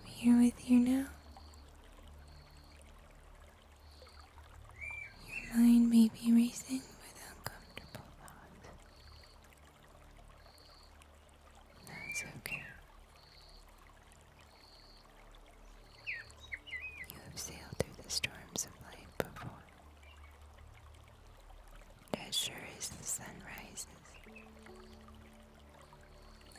I'm here with you now. Your mind may be racing with uncomfortable thoughts. That's okay. You have sailed through the storms of life before. As sure as the sun rises,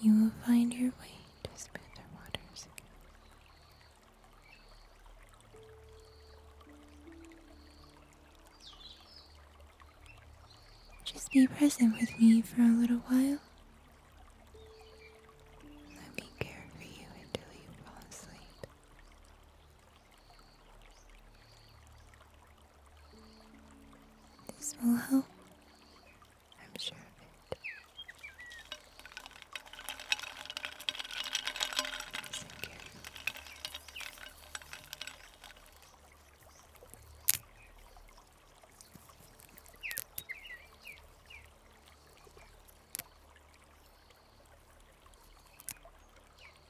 you will find your way to smoother waters again. Just be present with me for a little while. Let me care for you until you fall asleep. This will help. I'm sure of it. Thank you.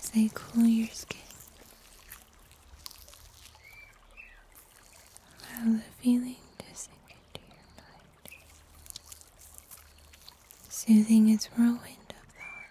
As they cool your skin, I have a feeling to sink into your mind, soothing its whirlwind of thoughts.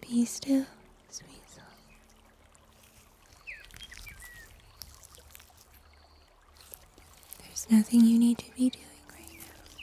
Be still, sweet soul. There's nothing you need to be doing right now.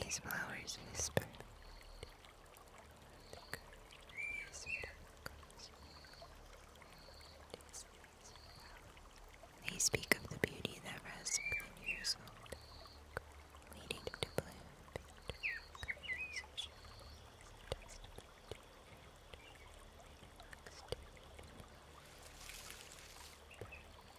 These flowers whisper. They speak of the beauty that rests within your soul, leading to bloom.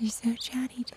You're so chatty today.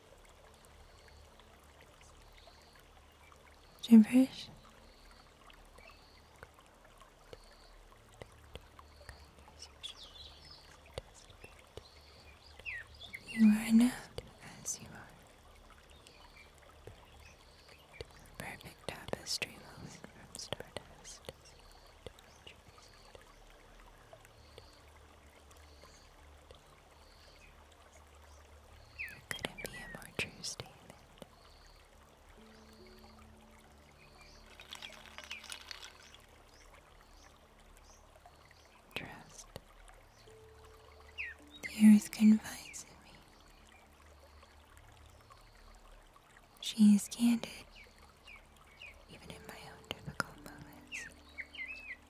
gibberish. You are enough as you are. Perfect tapestry woven from stardust. It couldn't be a more true statement. Trust. The earth confides in me. She is candid, even in my own difficult moments.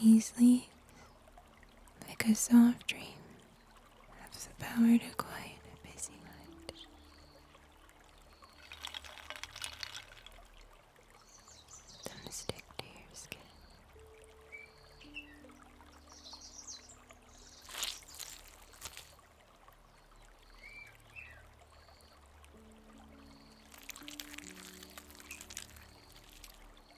These leaves, like a soft dream, have the power to quiet a busy mind. Some stick to your skin.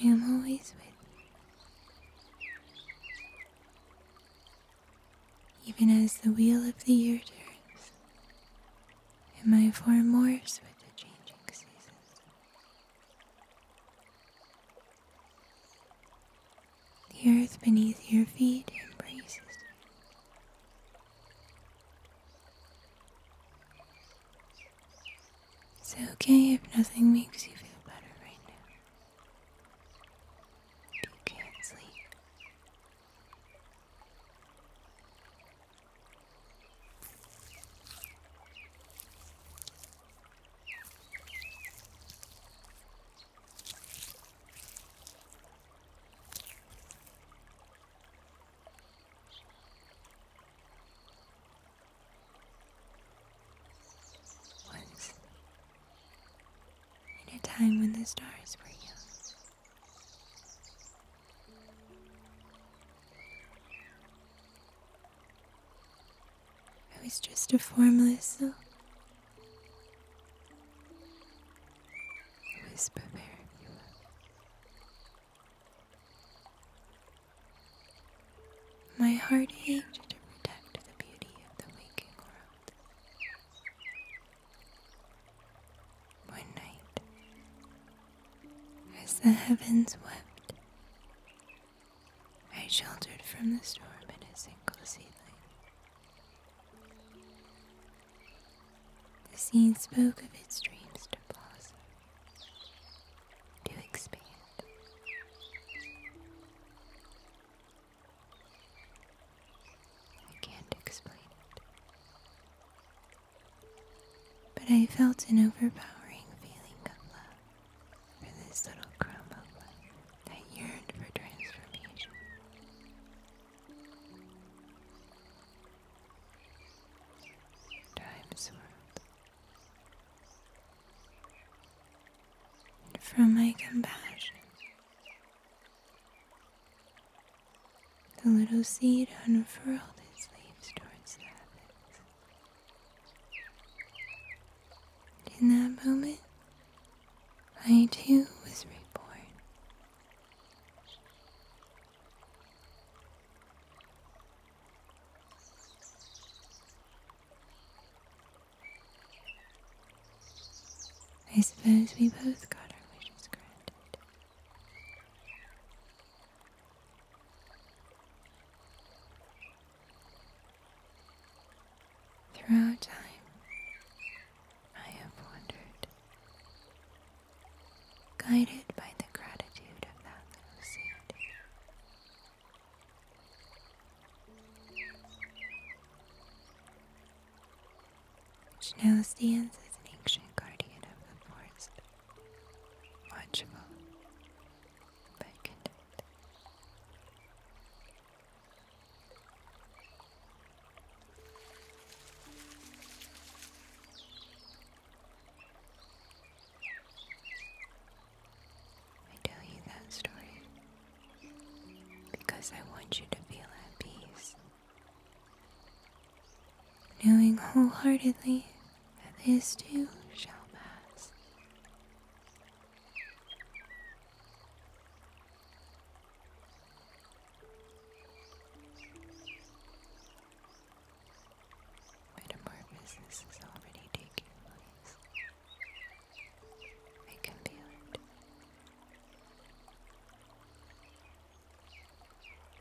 I am always with you. Even as the wheel of the year turns, and my form more with the changing seasons. The earth beneath your feet embraces It's okay if nothing makes you feel better right now. If you can't sleep. Once, in a time when the stars were young. I was just a formless Whisper wherever you My heart ached to protect the beauty of the waking world. One night, as the heavens wept, I sheltered from the storm in a single seedling. The scene spoke of its dreams to blossom, to expand. I can't explain it. But I felt an overpowering feeling of love for this little crumb of life that yearned for transformation. Time swirled. from my compassion, the little seed unfurled its leaves towards the In that moment, I too was reborn. I suppose we both got our wishes granted. Throughout time, I have wondered, guided by the gratitude of that little seed, which now stands as an ancient guardian of the forest, watchful but I tell you that story because I want you to feel at peace, knowing wholeheartedly that this too shall pass. But more business is already taking place. I can feel it.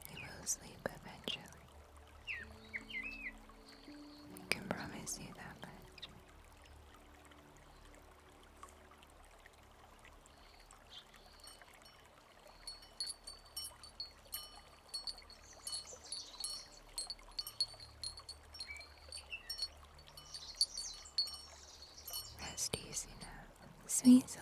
I will sleep eventually. I can promise you that Rest easy now, sweet soul.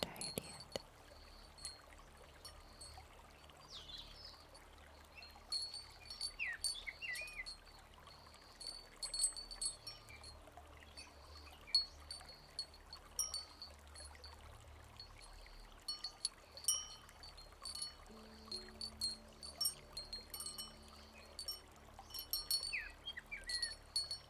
Tired yet?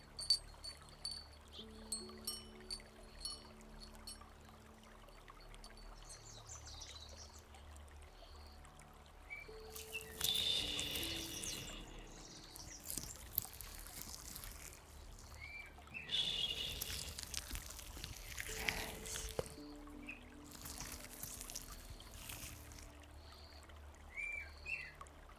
Rest.